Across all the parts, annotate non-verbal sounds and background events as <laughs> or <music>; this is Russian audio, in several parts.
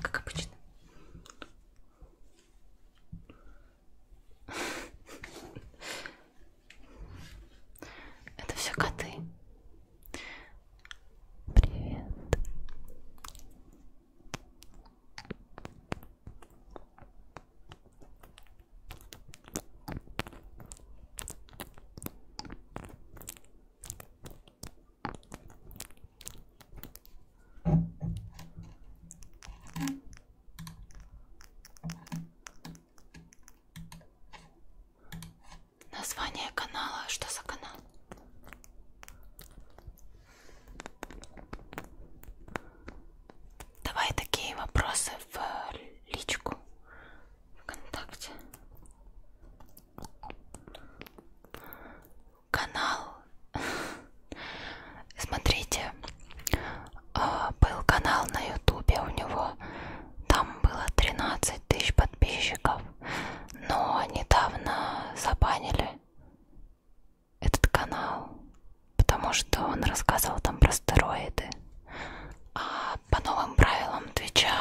Как обычно. Это все коты. Привет. Название канала, что за канал? Давай такие вопросы в личку ВКонтакте канал <laughs> смотрите а, был канал на ютубе у него там было 13 тысяч подписчиков но недавно забанили этот канал потому что он рассказывал там про стероиды а по новым правилам твича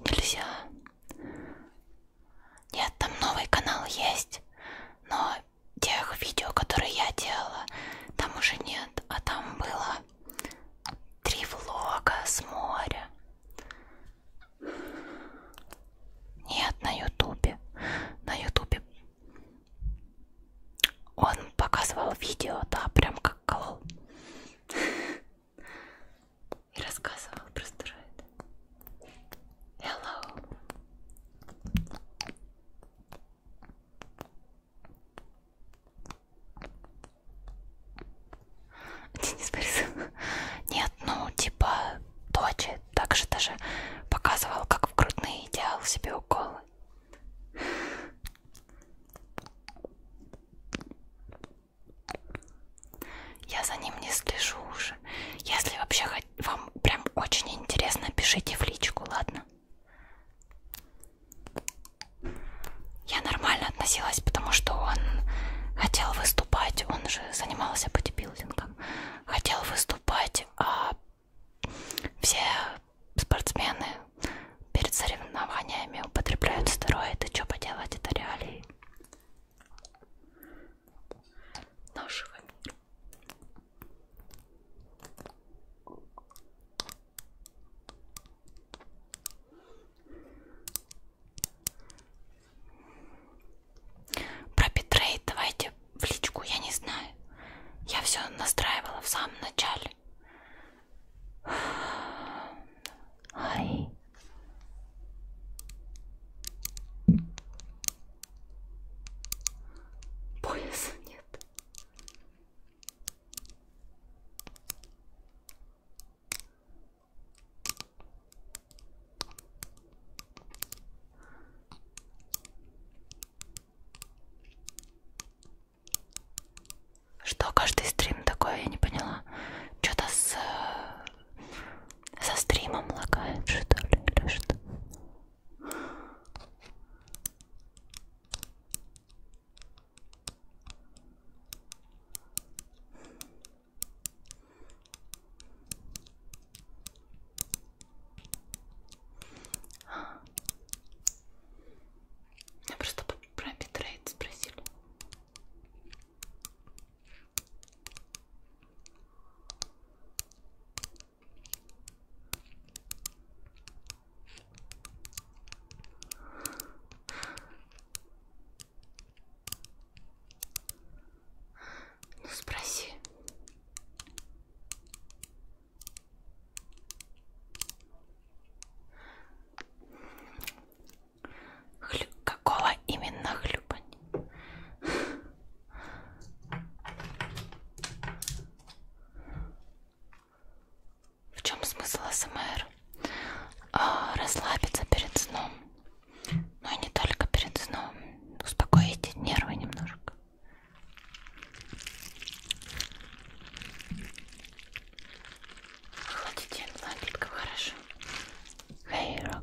нельзя нет, там новый канал есть, но тех видео, которые я делала, там уже нет, а там было три влога с моря. Нет, на ютубе. На ютубе он показывал видео, да, прям как колол и рассказывал про стероиды. Hello! Денис Борисов. Нет, ну типа Дочи также даже показывал, как в грудные делал себе уколы. Я за ним не слежу уже. Если вообще вам прям очень интересно, пишите в личку, ладно? Я нормально относилась, потому что он хотел выступать, он же занимался бодибилдингом, хотел выступать, а все спортсмены перед соревнованиями употребляют стероиды, что поделать, это реалии нашего мира. Про битрейт давайте в личку, я не знаю. Я все настраивала в самом начале. Ай. Пояса нет. Что каждый стрим такое, я не поняла. Что-то с э, со стримом лагает, что ли, или что? Меня а. просто про битрейт спросили. Ну спроси. Хлю... Какого именно хлюпань? В чем смысл СМР? А, расслабиться перед сном. Но ну и не только перед сном. Успокоить нервы немножко. Охладительная напитков хорошо. Хейро.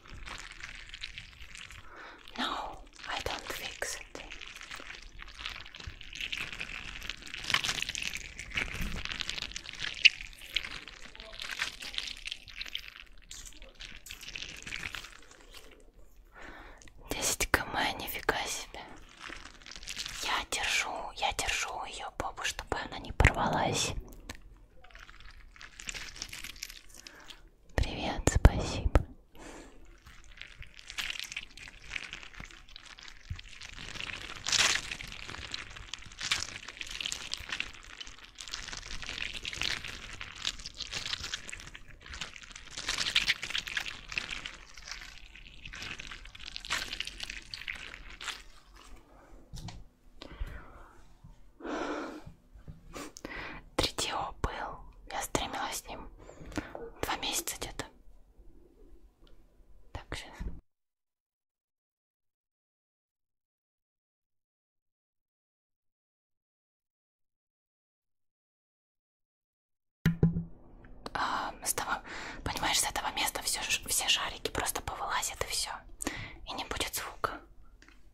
No, I don't fix it. Десять км, нифига себе. Я держу, я держу ее попу, чтобы она не порвалась. Привет, спасибо. 3DO был. Я стримила с ним. Два месяца где-то. Так, сейчас. А, с того, понимаешь, с этого места все, все шарики просто повылазят и все. И не будет звука.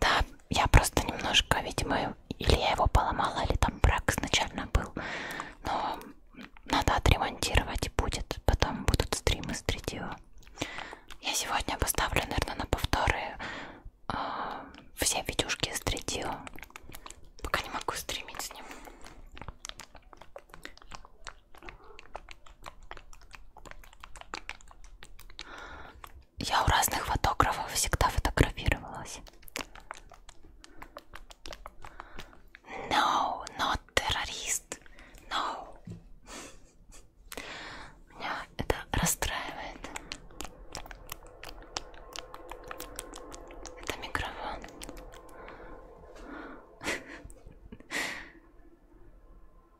Да, я просто немножко, видимо, или я его поломала, или там брак изначально был. Но надо отремонтировать и будет. Потом будут стримы с 3 Я сегодня поставлю, наверное, на повторы э, все видюшки с 3 Пока не могу стримить с ним. Я у разных фотографов всегда фотографировалась. No, not террорист. No. Меня это расстраивает. Это микрофон.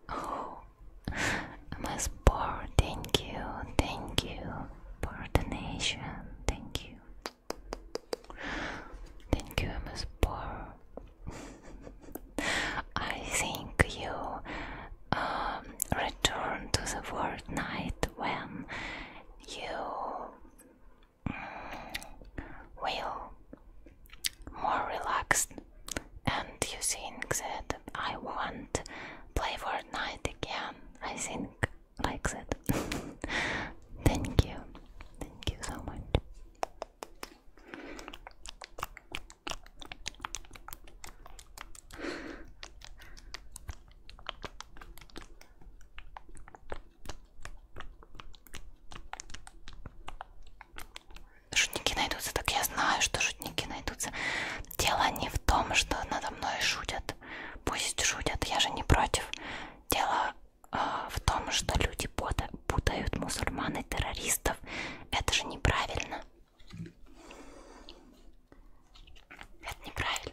Oh, I'm as Thank you, thank you for the nation. Thank you, thank you. I'm <laughs> I think you um, return to the night when you mm, will more relaxed and you think that I want play Fortnite again. I think likes <laughs> it. Thank you. Thank you so much. Шутники найдутся, так я знаю, что шутники найдутся. Дело не в том, что надо мной шутят. Пусть шутят, я же не против. Дело э, в том, что люди путают мусульман и террористов. Это же неправильно. Это неправильно.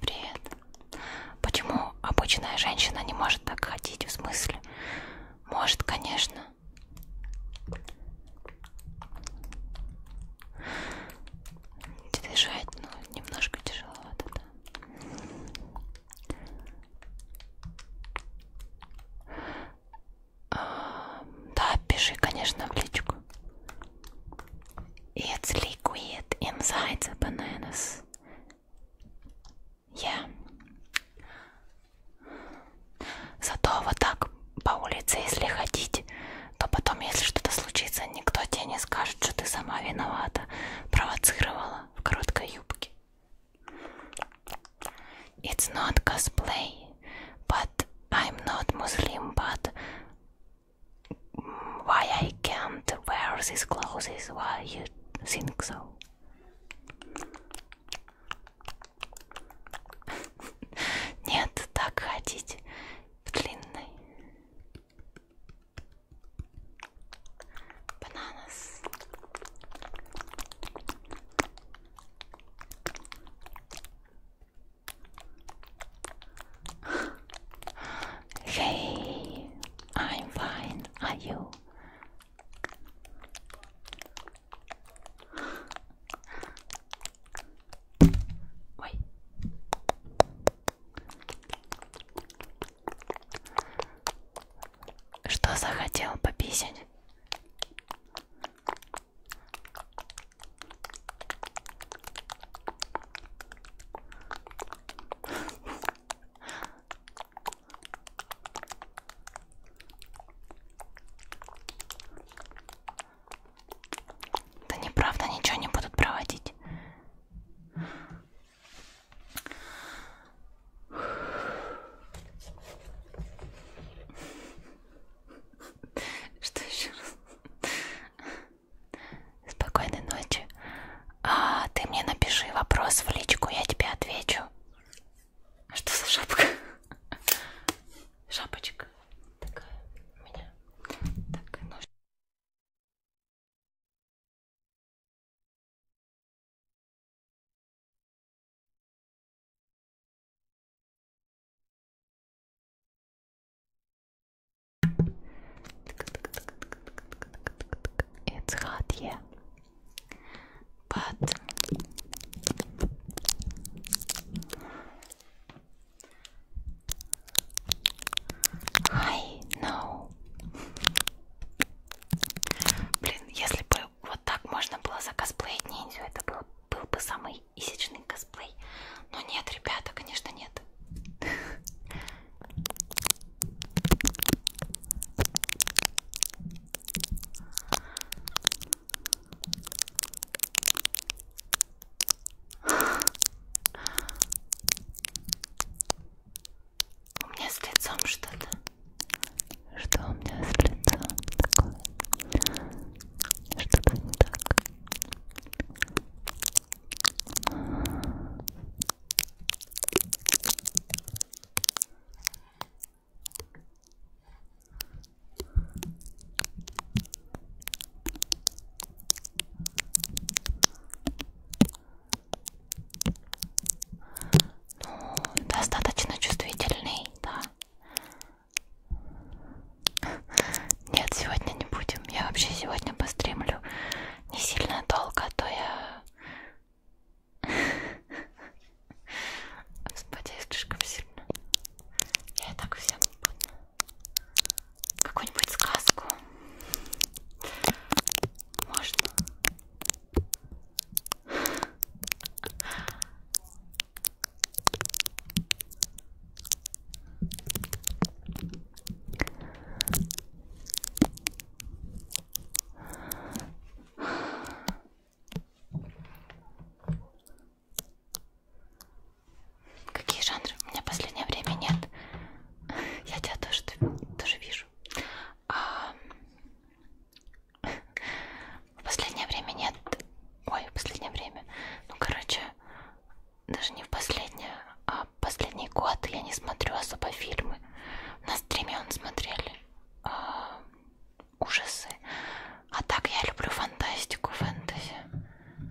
Привет. Почему обычная женщина не может так ходить? В смысле? Может, конечно. Дышать, но ну, немножко тяжеловато, да. А, да, пиши, конечно, в личку. It's liquid inside the bananas. Yeah. Зато вот так по улице, если ходить, то потом, если что-то случится, никто тебе не скажет, что ты сама виновата, провоцировала в короткой юбке. It's not cosplay, but I'm not Muslim, but why I can't wear these clothes? Why you think so? <laughs> Нет, так ходить в Bananas. Hey, I'm fine. Are you? Ой. Что захотел пописать? Да неправда, ничего не будут проводить. Что еще раз? Спокойной ночи. А, ты мне напиши вопрос в личку, я тебе отвечу. А что за шапка? <laughs> Шапочка такая у меня. Так, ну... It's hot, yeah. But I know. Блин, если бы вот так можно было закосплеить ниндзю, это был, был бы самый исечный косплей. Но нет, ребята, конечно, нет. У меня с лицом что-то. Что у меня с лицом такое? Что-то не так. Ну, достаточно чувствительный, да. Нет, сегодня не будем. Я вообще сегодня постримлю не сильно долго, а то я... Господи, я слишком сильно. Я и так всем буду. Какую-нибудь сказку. Можно? Какие жанры? У меня в последнее время нет. <laughs> Я тебя тоже, тоже вижу. А... В <laughs> последнее время нет. Ой, в последнее время. Ну, короче, даже не в последнее, а в последний год я не смотрю особо фильмы. На стриме он смотрели э, ужасы. А так я люблю фантастику, фэнтези.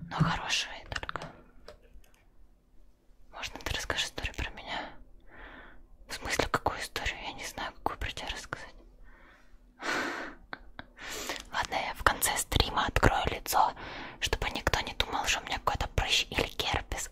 Но хорошие только. Можно ты расскажешь историю про меня? В смысле, какую историю? Я не знаю, какую про тебя рассказать. <laughs> Ладно, я в конце стрима открою лицо, чтобы никто не думал, что у меня какой-то прыщ или герпес.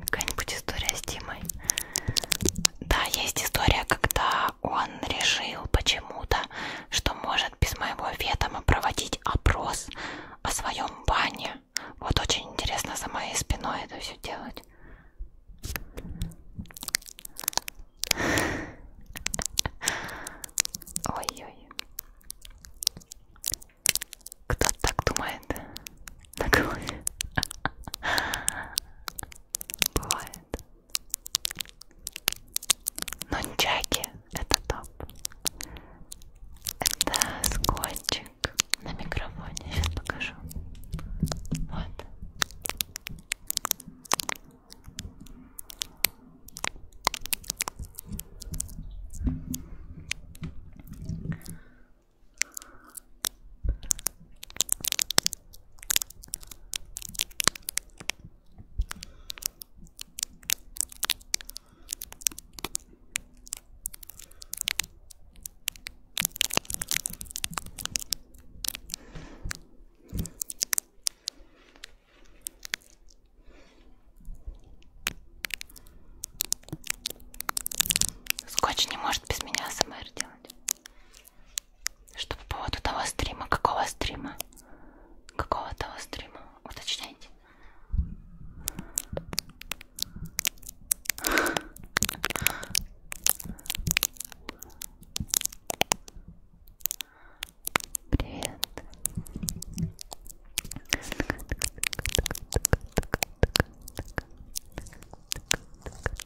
Какая-нибудь история с Димой. Да, есть история, когда он решил почему-то, что может без моего ведома проводить опрос о своем бане. Вот очень интересно за моей спиной это все делать. Ой-ой. Кто так думает? на голове. Бывает. Нунчаки это топ. Это скотчик на микрофоне. Сейчас покажу. Вот. Скотч не может без меня СМР делать делать? Что по поводу того стрима? Какого стрима? Какого того стрима? Уточняйте. Привет.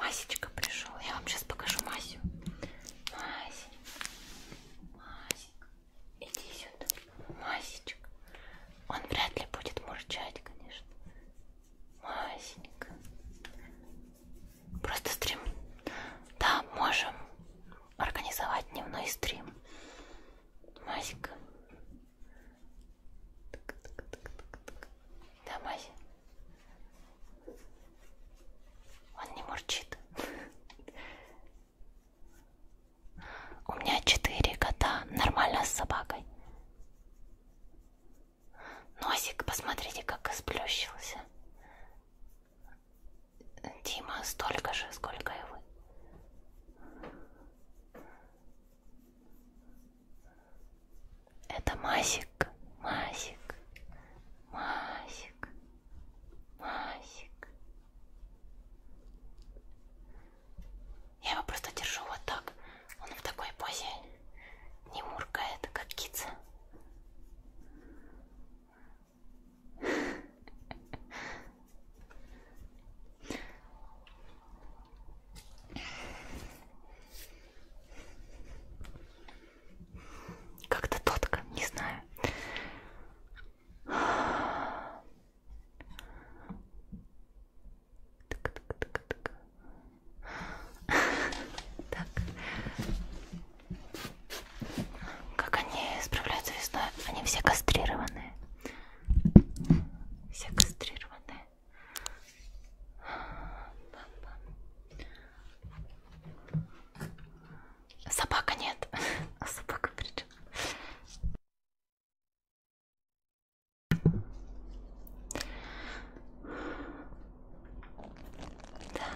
Масечка пришел. Я вам сейчас покажу Масю. Масенька. Масенька. Иди сюда. Масечка. Он вряд ли будет мурчать, конечно. Масенька. Просто стрим. Да, можем организовать дневной стрим. Масенька. Да, Мася. Он не мурчит. У меня четыре кота, нормально с собакой. Носик, посмотрите, как сплющился. Дима столько же, сколько и вы. Это Масик, Масик, Масик, Масик. Я его просто держу вот так. Он в такой позе не муркает, как кица. Как-то тотка, не знаю. Так, так, так, так. так. Как они справляются весной? Они все кастрированные все кастрированные. Собака нет, а собака причем. Да.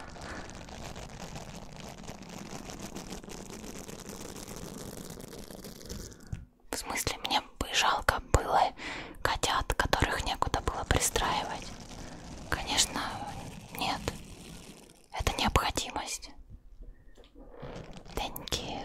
В смысле, мне бы жалко было котят, которых некуда было пристраивать. Конечно, нет. Это необходимость. Thank you.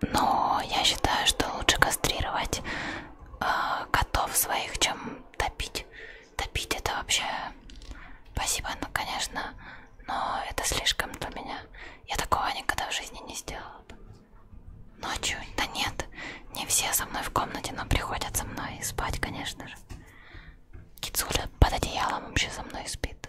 Но я считаю, что лучше кастрировать э, котов своих, чем топить. Топить это вообще... Спасибо, ну конечно, но это слишком для меня. Я такого никогда в жизни не сделала бы. Ночью? Да нет, не все со мной в комнате, но приходят со мной и спать, конечно же. Кицуля под одеялом вообще со мной спит.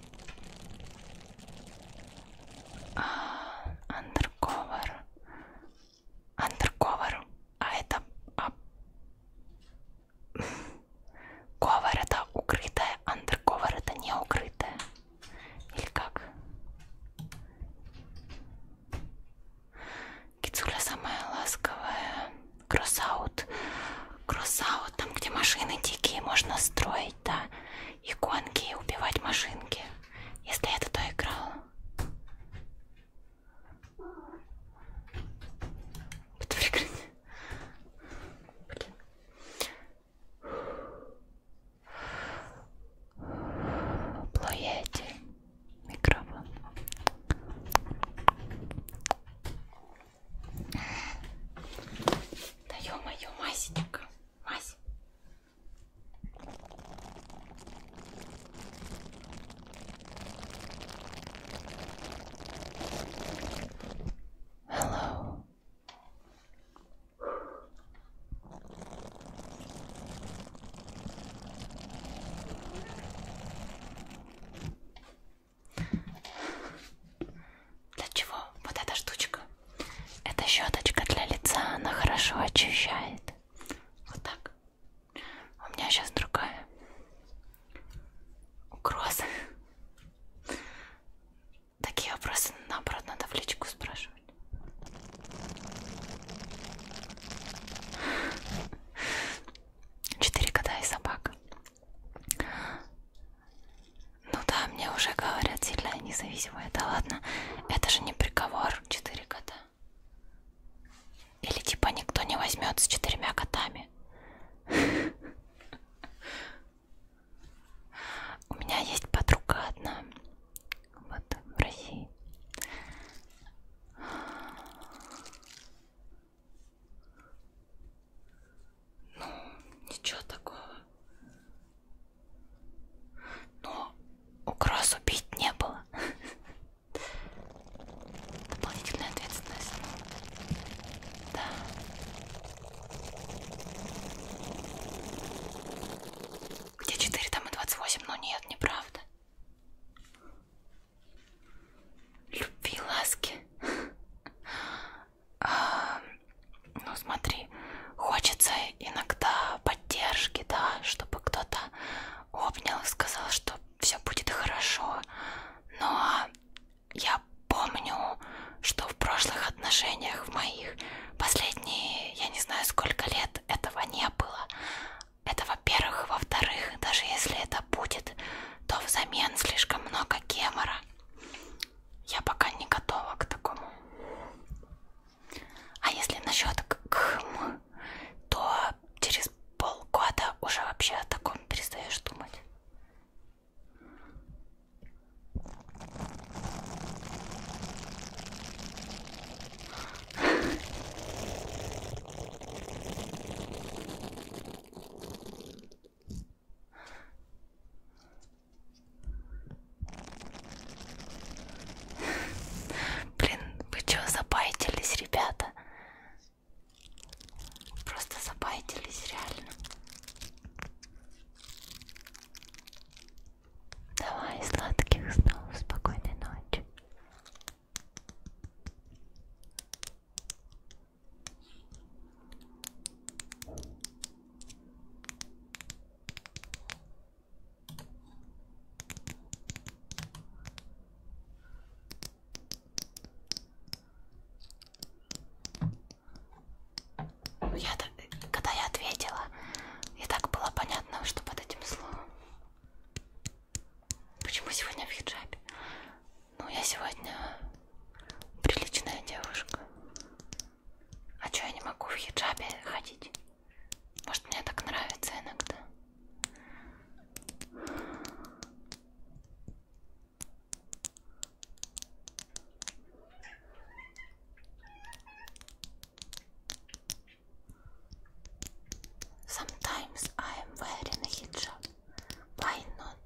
Undercover. А, undercover. А это... А... Cover <laughs> это укрытое, undercover это не укрытое. Или как? Кицуля самая ласковая. Кроссаут кроссаут, там где машины дикие, можно строить, да, и гонки, и убивать машинки. Если я туда играла. Это прикрыть. Блин. Плоете микрофон. Да ё-моё, Масечка, Мась. Hello. Для чего вот эта штучка? Эта щеточка для лица, она хорошо очищает. Вот так. У меня сейчас другая. Угроза. Такие вопросы, наоборот, надо в личку спрашивать. Четыре кота и собака. Ну да, мне уже говорят, сильная независимая. Да ладно, это же не приговор. Четыре кота. Или типа никто не возьмет с четырьмя котами. У меня есть подруга одна. Вот в России. Ну, ничего такого. Но угроз убить не было. Дополнительная ответственность. Да. Где 4, там и 28, но нет, неправда. Любви, ласки ну смотри, хочется иногда поддержки, да, чтобы кто-то обнял и сказал, что все будет хорошо. Но я помню, что в прошлых отношениях, в моих последние, я не знаю сколько лет, этого не было. Это во-первых. Во-вторых, даже если это будет, то взамен слишком много гемора я пока не готова к такому. А если насчет кхм, то через полгода уже вообще о таком перестаешь думать. Блин, вы чё, запайтились, ребята? Просто запайтились, реально. Давай, сладких снов, спокойной ночи. Ну, я, когда я ответила, и так было понятно, что под этим словом. Почему сегодня в хиджабе? Ну, я сегодня приличная девушка. А чё я не могу в хиджабе ходить? Может, мне так нравится иногда? Sometimes I am wearing a hijab. Why not?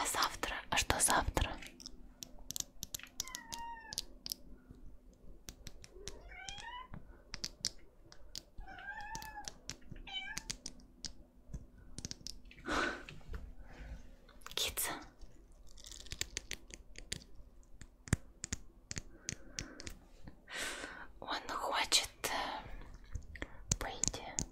А завтра? А что завтра? Кица. Он хочет выйти э,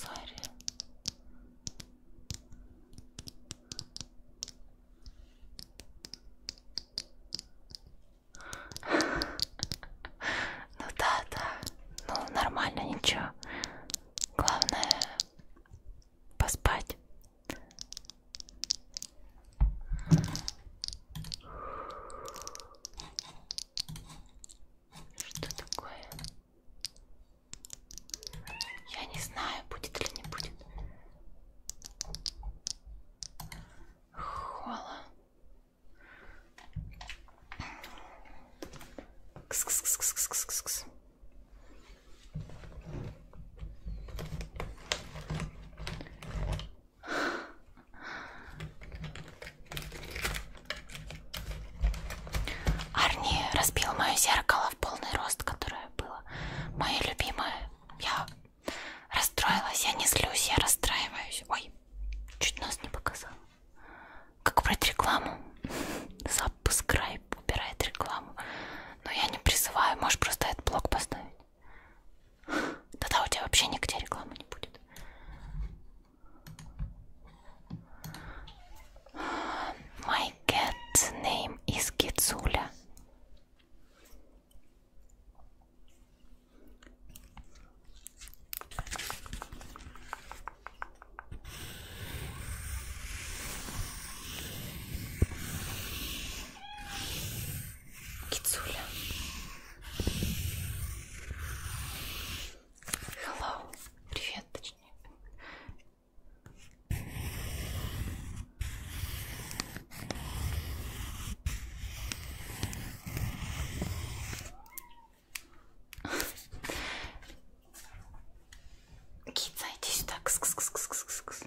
Сари. <laughs> Ну да, да. Ну нормально, ничего. Главное поспать что такое? Я не знаю, будет или не будет. Хола. Кс -кс -кс -кс -кс -кс -кс. Арни разбил мое зеркало в полный рост, которое было мое любимое. Я расстроилась, я не злюсь, я расстраиваюсь. Ой, чуть нос не показал. Как брать рекламу? Запуск <laughs> Райп убирает рекламу. Но я не призываю, можешь просто этот блок поставить. Тогда у тебя вообще нигде рекламы не будет. My cat's name is Кицуля. Кицуля. Hello. Привет, точнее. Кит, зайди сюда. Кс -кс -кс -кс -кс -кс.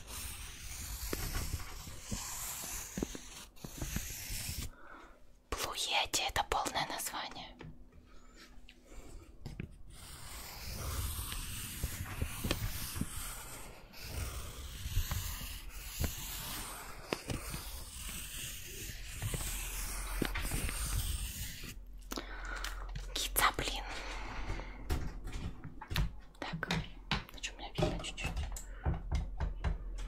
Плуети это полное название. Кица, блин. Так, значит, ну, у меня видно чуть-чуть.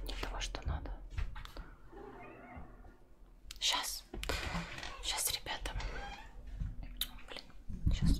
Не того, что надо. Сейчас. Сейчас, ребята. Блин, сейчас.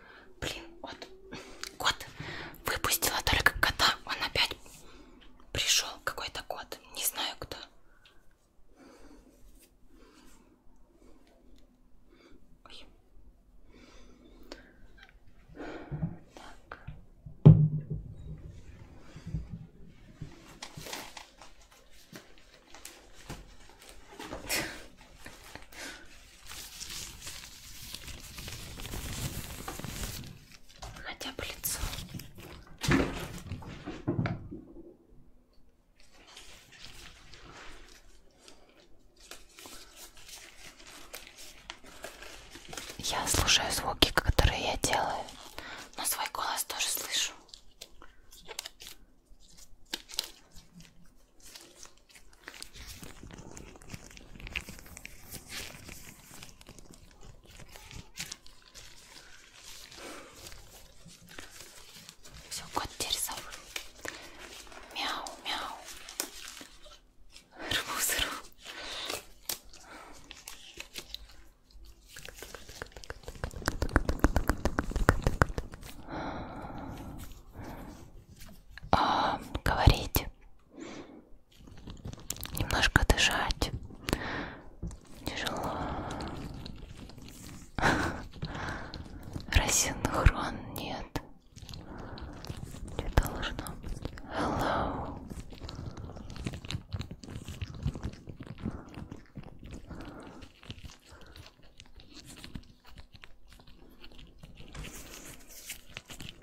Блин, вот кот выпустила только кота. Он опять пришел какой-то кот. Не знаю кто. Ой. Так. Хотя бы лицо. Я слушаю звуки, которые я делаю, но свой голос тоже слышу. Все, кот теперь сам. Мяу, мяу. Рву, сыру. А, говорить Немножко дышать тяжело. <laughs> Рассинхрон нет. Не должно быть. Hello.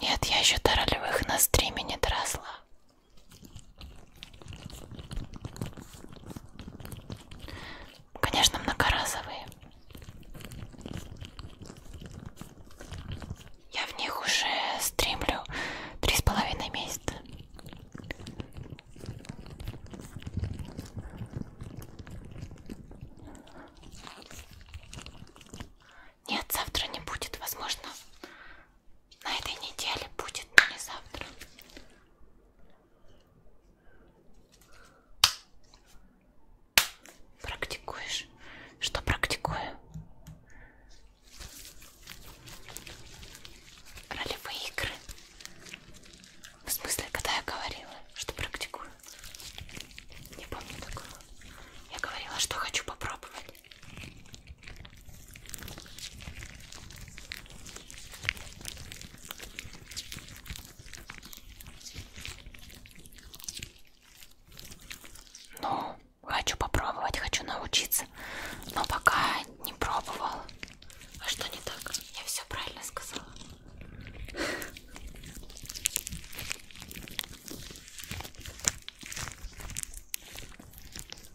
Нет, я еще до ролевых на стриме не доросла. Конечно, многоразовые. Я в них уже стримлю три с половиной месяца. Нет, завтра не будет, возможно на этой неделе будет, но не завтра. Практикуешь? Что практикую? Ролевые игры. В смысле, когда я говорила, что практикую? Не помню такого. Я говорила, что хочу попробовать. Ну, хочу попробовать, хочу научиться, но пока не пробовала. А что не так? Я все правильно сказала.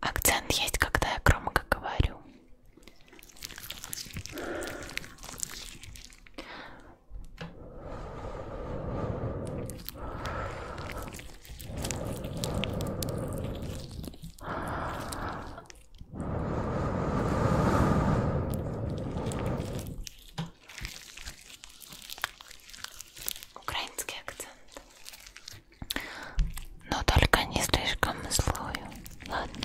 Акцент есть, когда я громко говорю. Украинский акцент. Но только не слишком злую. Ладно.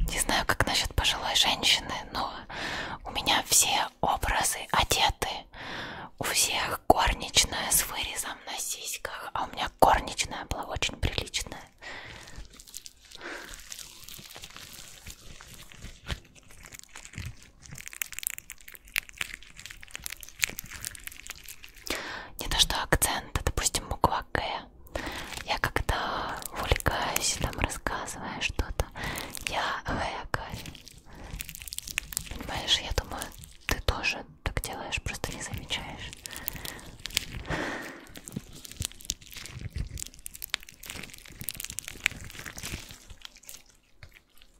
Не знаю, как насчет пожилой женщины, но у меня все образы одеты. У всех горничная с вырезом на сиськах, а у меня горничная была очень приличная. Не то что акцент, а, допустим, буква К. Я когда увлекаюсь, там рассказываю что-то, я Гэкарь. Понимаешь, я думаю, ты тоже так делаешь, просто не замечаешь.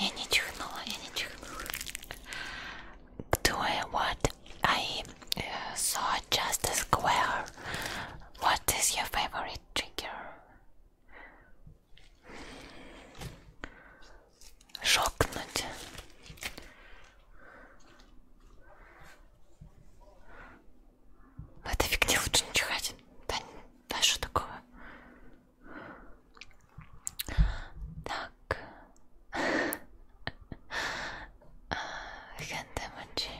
Я не чихнула, Doing what I э, saw just a square. What is your favorite trigger? Шокнуть. В этой фигне лучше не чихать. Да, да что такого? Так. Хендемончи.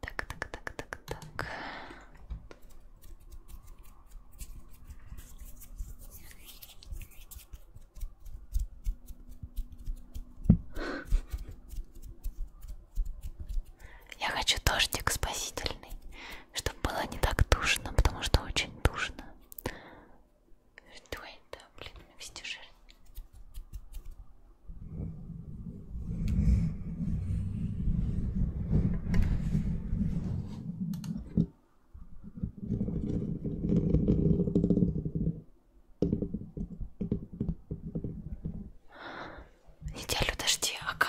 Так, так, так, так, так. Я хочу дождик спасительный, чтобы было не так душно, потому что очень душно. Что это, блин, вести жир? Неделю дожди, ага.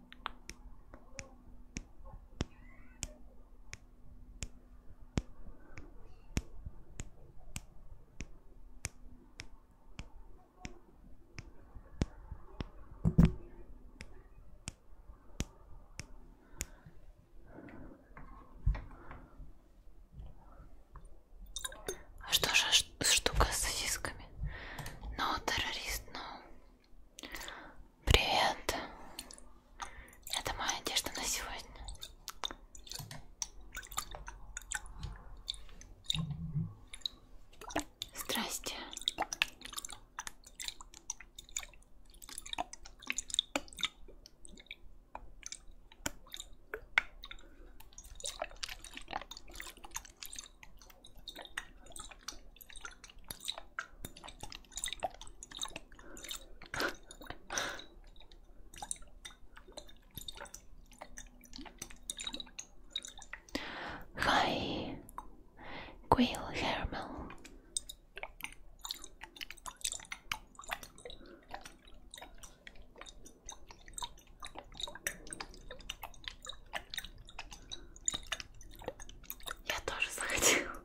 А что же штука с сосисками? Но ну, террорист, но ну. Привет. Это моя одежда на сегодня. Здрасте. Hi, Quill Hermel. Я тоже захотела.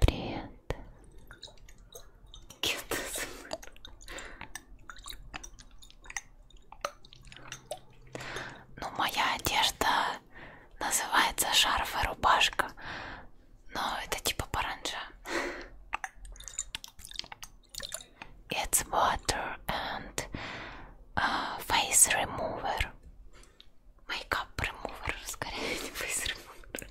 Привет. Ну, моя одежда называется шарф и рубашка, но это типа паранджа. It's water and uh, face remover. Makeup remover, скорее <laughs> <laughs> face remover.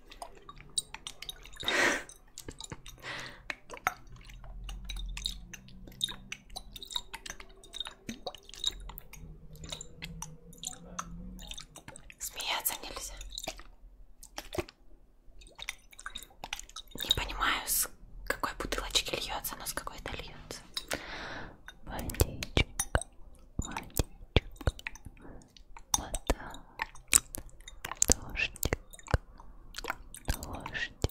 Смеяться нельзя. Не понимаю, с какой бутылочки льется, но с какой-то льется. Водичка, водичка, вода, дождик, дождик,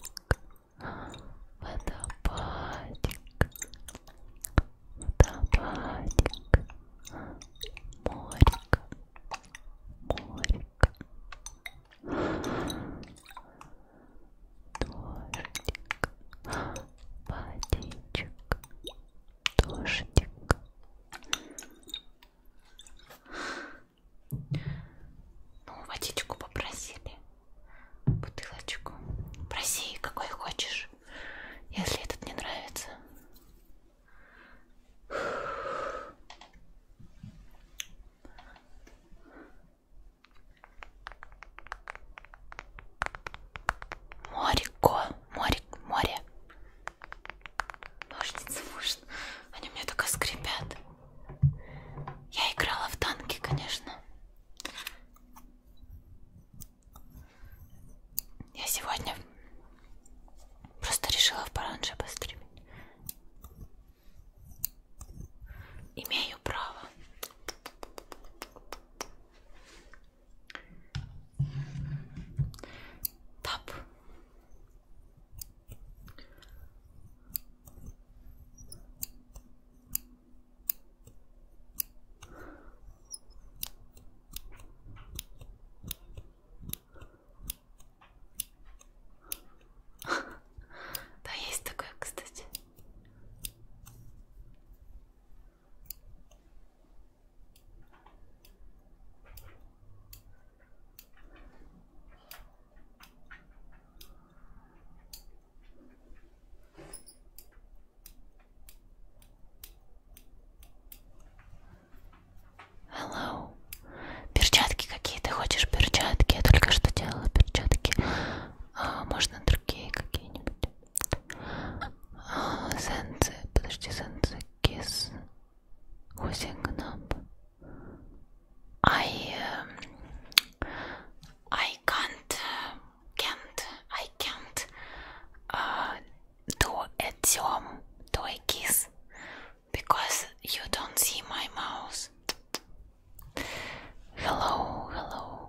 водопадик, водопадик, морик, морик, дождик, водичек, дождик. Ну, водичку попросили, бутылочку. Проси, какой хочешь, если этот не нравится. Морико, море, море, Ножницы можно. Они мне только скрипят. Я играла в танки, конечно. Я сегодня просто решила в поранже постримить. Имею право. Тап. <laughs> Да, есть такое, кстати. Hello. Перчатки какие ты хочешь? Перчатки? Я только что делала перчатки. А, можно другие какие-нибудь? А, сенсы. Подожди, сенсы. Кис. Washing up. I um, I can't can't I can't uh, do a zoom to a kiss because you don't see my mouse. Hello, hello.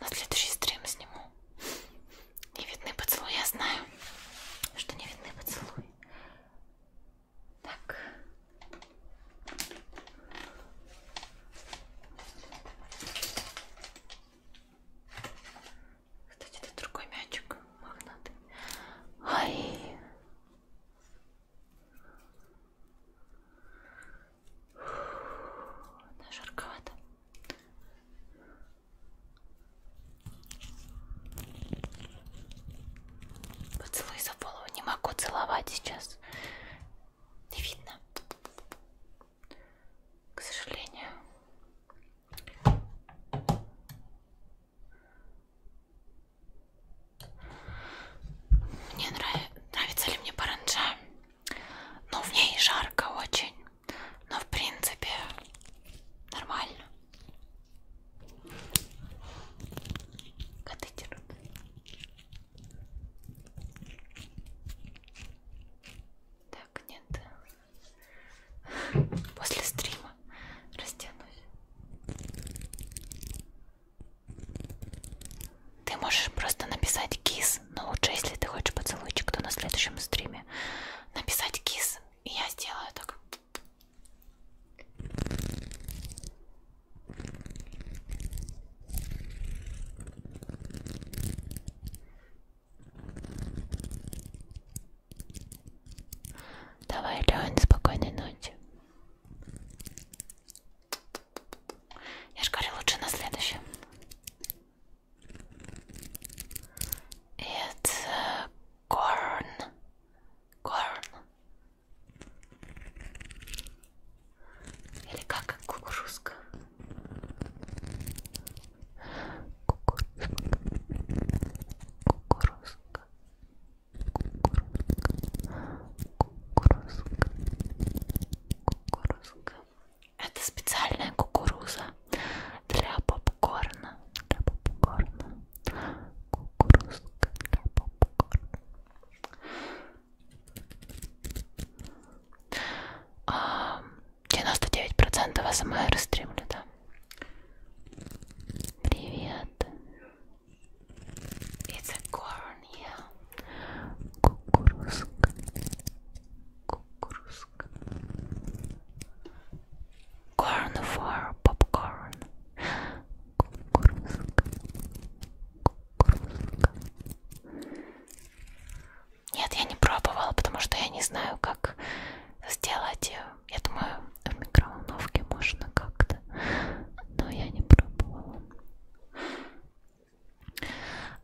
На следующий стрим сниму. Не видны поцелуи, я знаю, что не видны поцелуи. Так. Кстати, это другой мячик, магнат. Ай. Да, жарковато. Поцелуй за голову. Не могу целовать сейчас не видно. К сожалению. Мне нравится, нравится ли мне паранджа. Ну, в ней жарко очень. Но в принципе нормально. Коты дерут. Да. Так, нет. После стрима растянусь. Ты можешь просто написать кис, но лучше, если ты хочешь поцелуйчик, то на следующем стриме написать кис, и я сделаю так. Давай, Лен, спокойной ночи. Я ж говорю, лучше на следующем. It's э, corn. Corn. Или как кукурузка кукурузка, кукурузка, кукурузка, кукурузка. Это специальная кукуруза для попкорна, для попкорна, кукурузка для попкорна. А, 99% АСМР стримлю, да? Привет. It's a corn, yeah. Кукурузка. Кукурузка. Corn for popcorn. Кукурузка. Кукурузка. Нет, я не пробовала, потому что я не знаю, как сделать ее. Я думаю, в микроволновке можно как-то, но я не пробовала.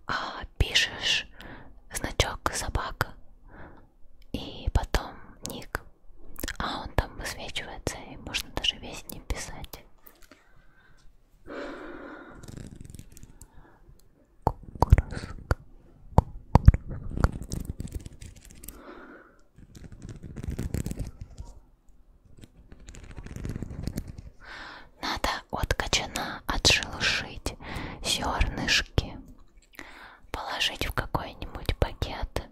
А пишешь значок собака и потом ник, а он там высвечивается и можно даже весь не писать кукурузка, Надо от качана отшелушить зернышки, положить в какой-нибудь пакет,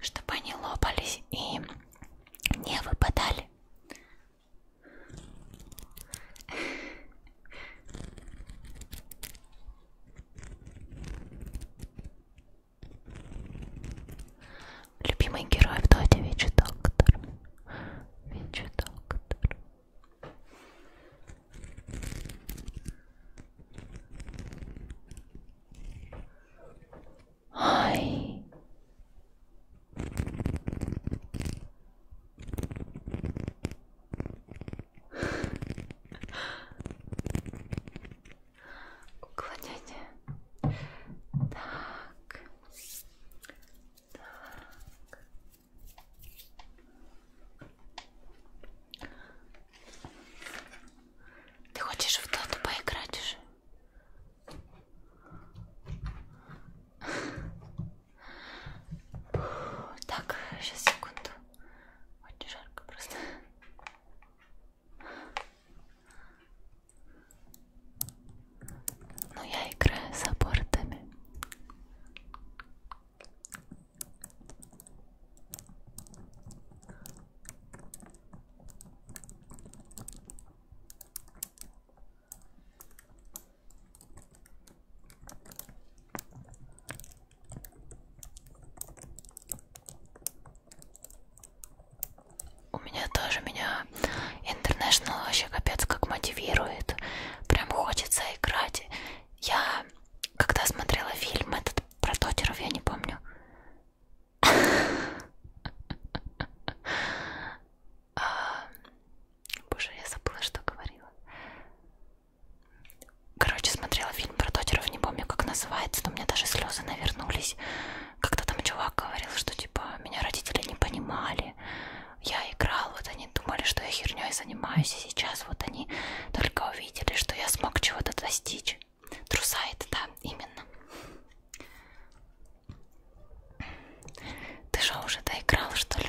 чтобы они лопались и не выпадали. Любимый герой в Доте Вичи Доктор. Вичи Доктор. Ай. Уклонение. Так. Так. Ты хочешь в доту поиграть уже? Так, сейчас секунду. Очень жарко просто. Ну я играю с абортами. У меня тоже меня International вообще капец как мотивирует. Прям хочется играть. Я когда смотрела фильм этот про Тотеров, я не помню. <laughs> А, Боже, я забыла, что говорила. Короче, смотрела фильм про Тотеров, не помню, как называется, но у меня даже слезы навернулись. Когда там чувак говорил, что типа меня родители не понимали, я играл, вот они думали, что я херней занимаюсь, и сейчас вот они только увидели, что я смог чего-то достичь. Трусайт, да, именно. Ты же уже доиграл, что ли?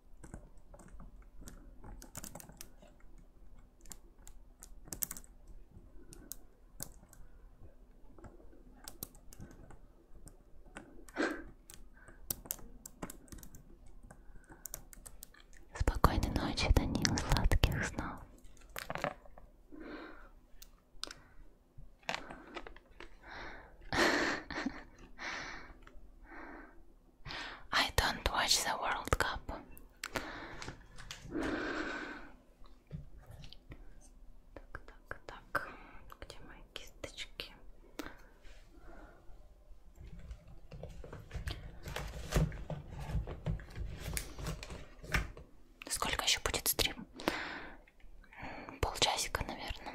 Спокойной ночи, Данил, сладких снов. <laughs> I don't watch the World Cup. Так, так, так. Где мои кисточки? Сколько еще будет стрим? Полчасика, наверное.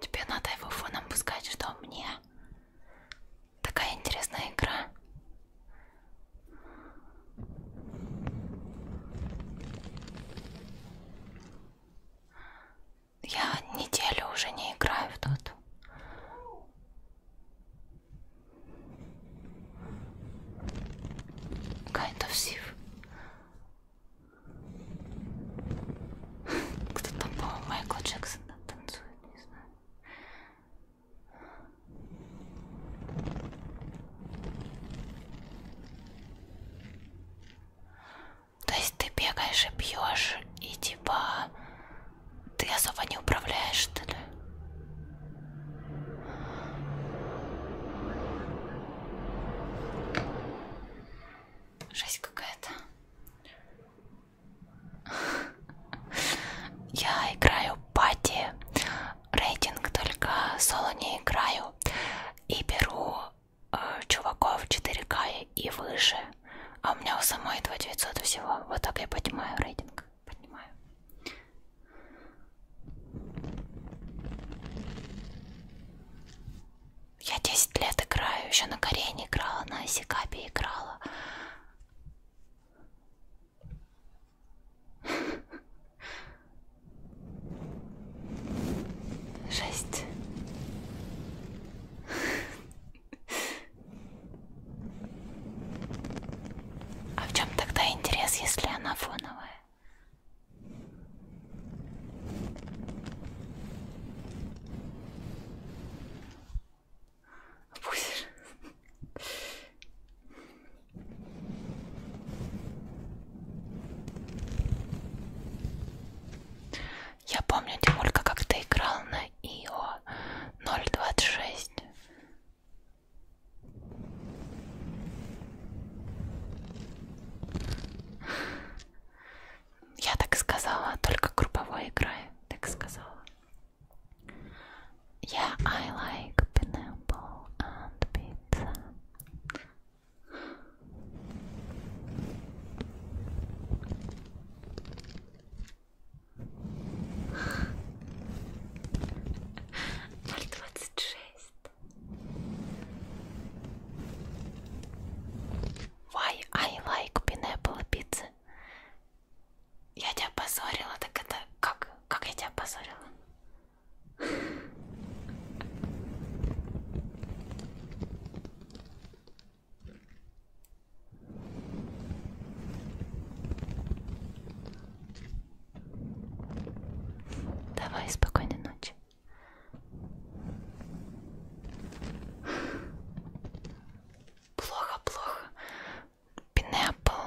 Тебе надо его фоном пускать, что мне такая интересная игра. Я неделю уже не играю в доту. Kind of sieve. Кто-то, по-моему, Майкла Джексона танцует, не знаю. То есть ты бегаешь и пьешь, и типа ты особо не управляешь, что ли? Жесть какая-то. Я играю пати, рейтинг только соло не играю и беру э, чуваков 4К и выше. А у меня у самой 2900 всего. Вот так я поднимаю рейтинг. Поднимаю. Я 10 лет играю, еще на Корене играла, на Асикабе играла. <laughs> Жесть. <laughs> А в чем тогда интерес, если она фоновая? Будешь? Я помню, Тимулька, как ты играл на Ио 026. Я так сказала, только групповой игрой, так сказала. Yeah, I like pineapple and pizza. Ноль двадцать шесть. Why I like pineapple pizza? Я тебя позорила, так это как? Как я тебя позорила? Давай спокойной ночи. Плохо, плохо. Pineapple.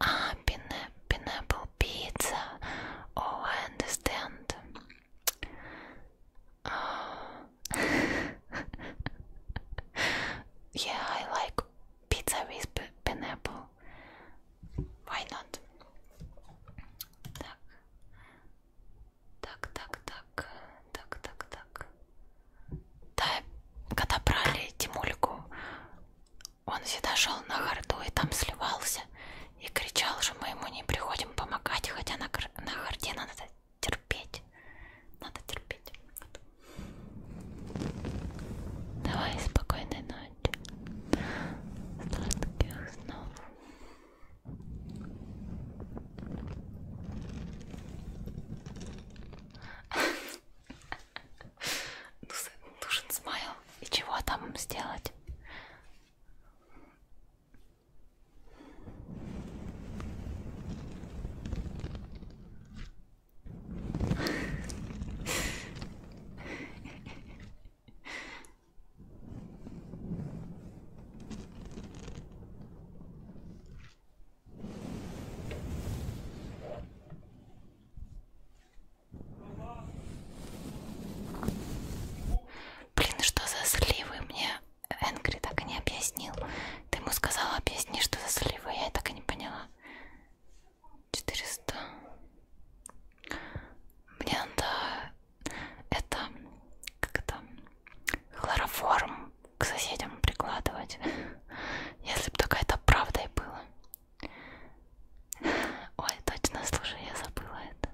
Ah, pineapple pizza. Oh, I understand. <laughs> yeah, I like pizza with pineapple. Why not? Так, так, так, так, так, так. Да, когда брали Тимульку, он всегда шел на харду и там сливался. И кричал, что мы ему не приходим помогать, хотя на, на харде надо терпеть. Надо терпеть. Вот. Давай, спокойной ночи. Сладких снов. Нужен смайл. И чего там сделать? Блин, что за сливы? Мне Энгри так и не объяснил. Ты ему сказала, объясни, что за сливы. Я так и не поняла. 400. Мне надо это как это хлороформ к соседям прикладывать. <laughs> Если бы только это правдой было. <laughs> Ой, точно, слушай, я забыла это.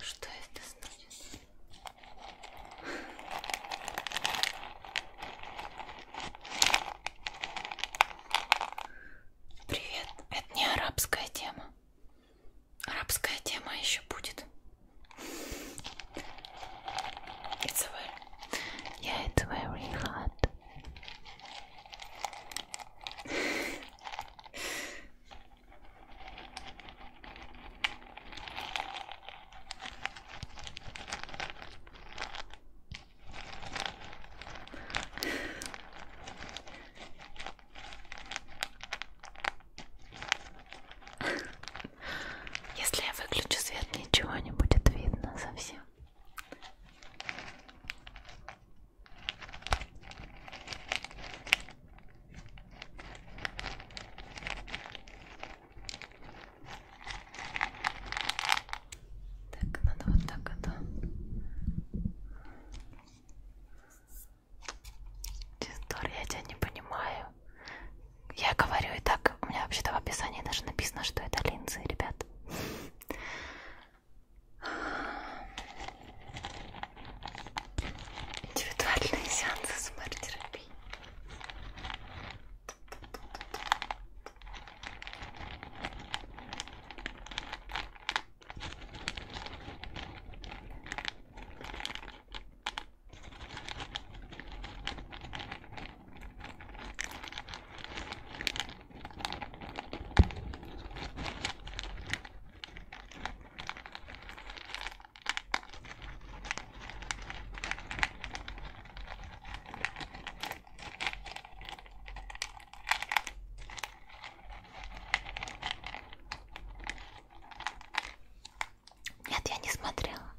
Что это значит? Привет, это не арабская тема. Арабская тема еще будет. It's very, yeah, it's very hot. Если я выключу свет, ничего не будет видно совсем. Так, надо вот так это Тестор, я тебя не понимаю. Я говорю и так, у меня вообще-то в описании даже написано, что это линзы, ребят. Индивидуальные сеансы смарт-терапии. Нет, я не смотрела. А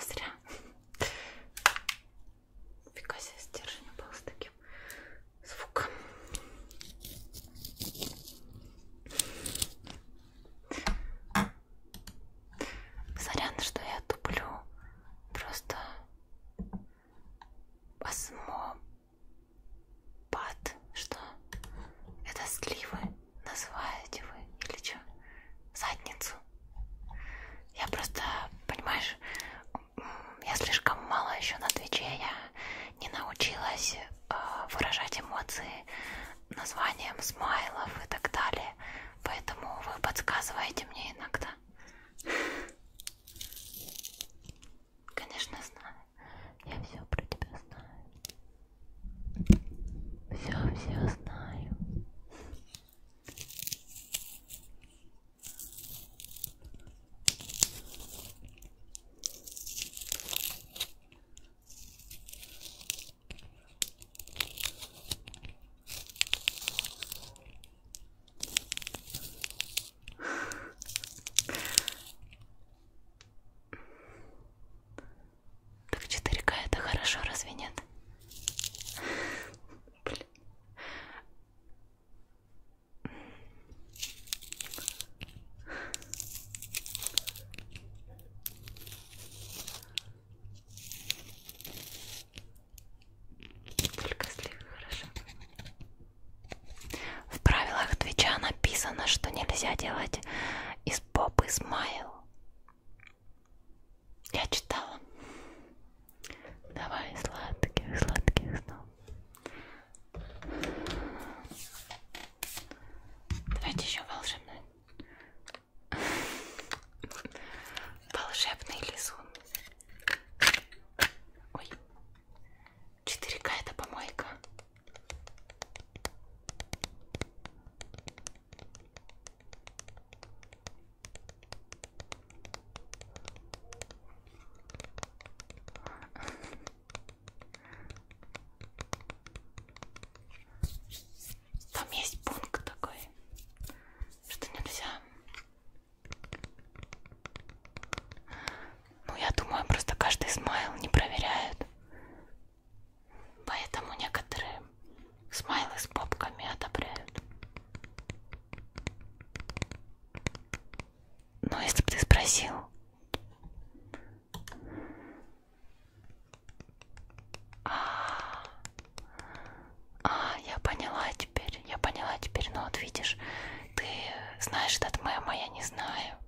зря. Фига себе, стержень был с таким звуком. Сорян, что я туплю. Просто Осмопад. Что? Это сливы называете вы? Или что? Задницу? Я просто, понимаешь, я слишком мало еще на Твиче, я не научилась э, выражать эмоции названием смайлов и так далее. Поэтому вы подсказываете мне иногда. Конечно, знаю. Я все про тебя знаю. Все, все знаю. Так 4К это хорошо, разве нет? Блин. Только сливы хорошо. В правилах Твича написано, что нельзя делать из попы смайл. Я читала. Давай сладких, сладких снов. Давайте еще волшебный. Волшебный лизун. Ой, 4К это помойка. Там есть пункт такой, что нельзя ну, я думаю, просто каждый смайл не проверяют. Поэтому некоторые смайлы с попками одобряют. Но если бы ты спросил... А -а -а. А, я поняла теперь, я поняла теперь, но ну, вот видишь, ты знаешь этот мем, а я не знаю.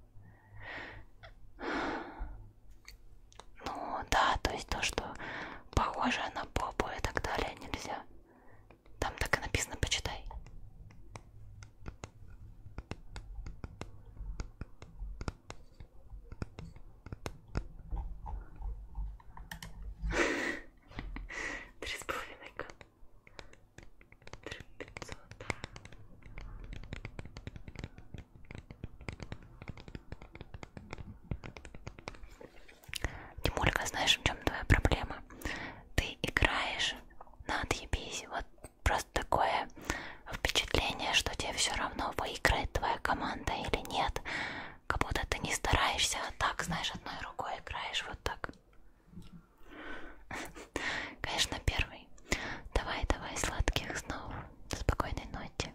Ну да, то есть то, что похоже на попу и так далее нельзя. Там так и написано, почитай. Три с половиной года. Три пятьсот. Тимулька, знаешь, в чем твоя проблема? Ты играешь на отъебись. Вот просто такое впечатление, что тебе все равно выиграет твоя команда или нет как будто ты не стараешься, а так, знаешь, одной рукой играешь вот так. <laughs> Конечно, первый. Давай, давай, сладких снов. Спокойной ночи.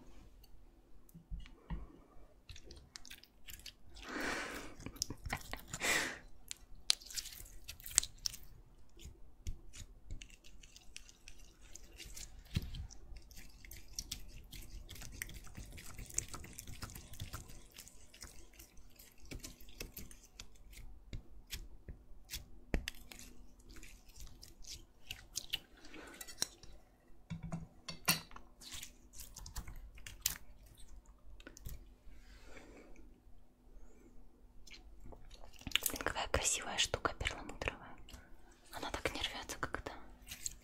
Какая красивая штука перламутровая. Она так не рвется, когда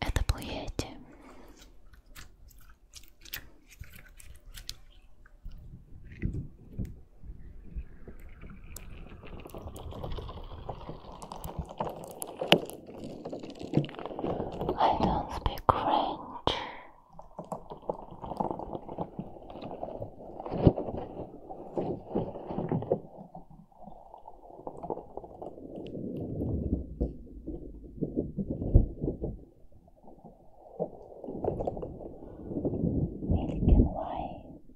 Это плывете. I don't speak French. Milk and wine.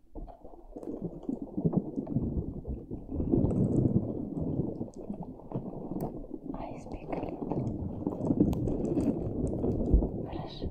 I speak little. Хорошо. Хорошо.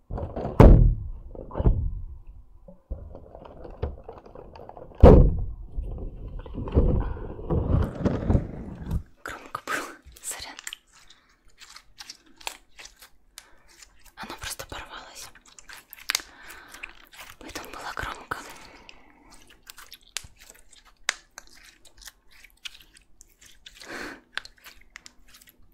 Громко было, сорян. Оно просто порвалось. Поэтому было громко.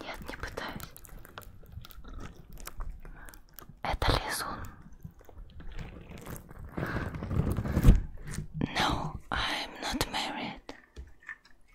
Нет, не пытаюсь. Это лизун. No, I'm not married.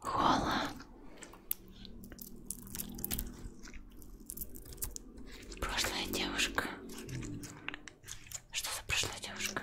Хола. Прошлая девушка. Что за прошлая девушка?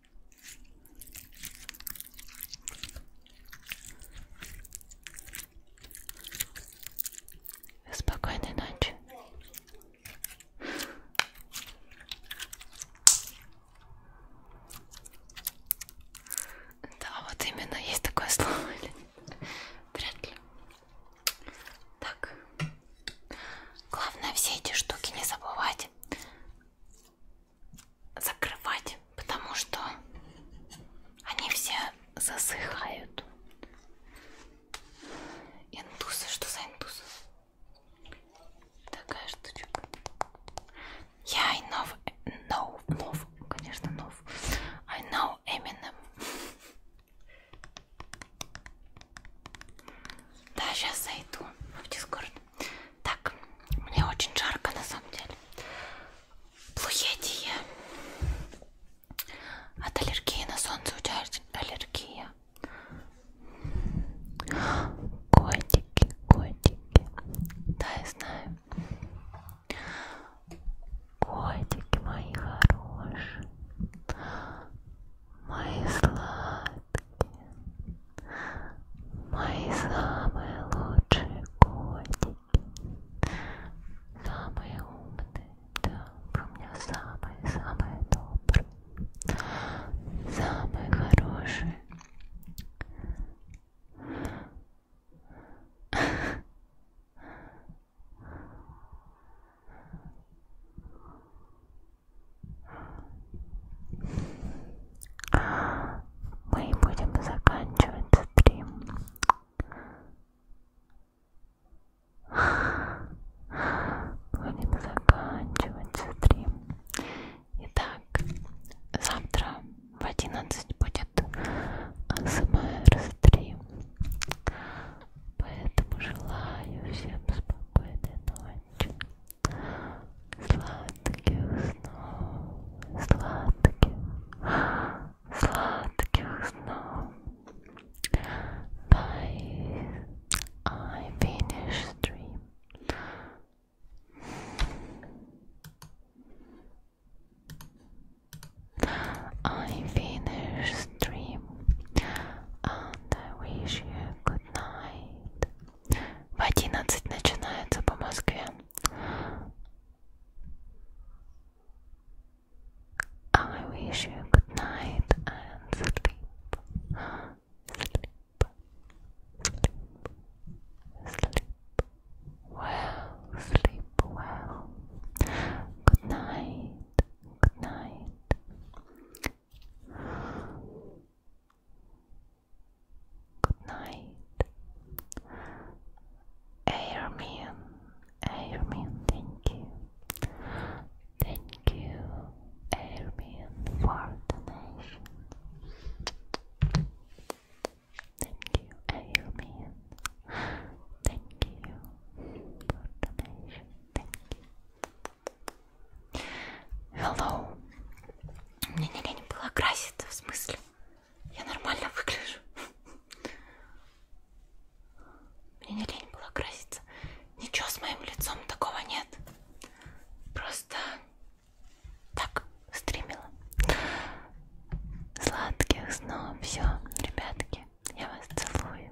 Спокойной ночи. Да, вот именно есть такое слово. <laughs> Вряд ли. Так. Главное все эти штуки не забывать закрывать, потому что они все засыхают. Индусы, что за индусы? Такая штучка. Я yeah, I know, know, know, конечно, know. I know Eminem. Да, сейчас зайду в Дискорд. Так, мне очень жарко на самом деле. Плуедие. От аллергии на солнце у тебя аллергия. Котики, котики. Да, я знаю. Котики мои хорошие. Мои сладкие. Мои самые лучшие котики, самые умные, да, про меня самые-самые добрые, самые хорошие мы будем заканчивать стрим. Будем заканчивать стрим. Итак, завтра в 11 будет АСМР-стрим. Поэтому желаю всем спокойной ночи. Сладких снов, сладких, сладких снов. Guys, I finished stream. I finished stream and I wish you good night. В одиннадцать начинается по Москве. I wish you good night and sleep, sleep, sleep, sleep well, sleep well. Good night, good night. Good night. Airman, Airman, thank you. Thank you, Airman, for donation. Thank you, Airman. Thank you for donation. Thank you. Hello, Мне не лень было краситься, в смысле. Я нормально выгляжу. Мне не лень было краситься. Ничего с моим лицом такого нет. Просто так стримила. Сладких снов. Все, ребятки, я вас целую.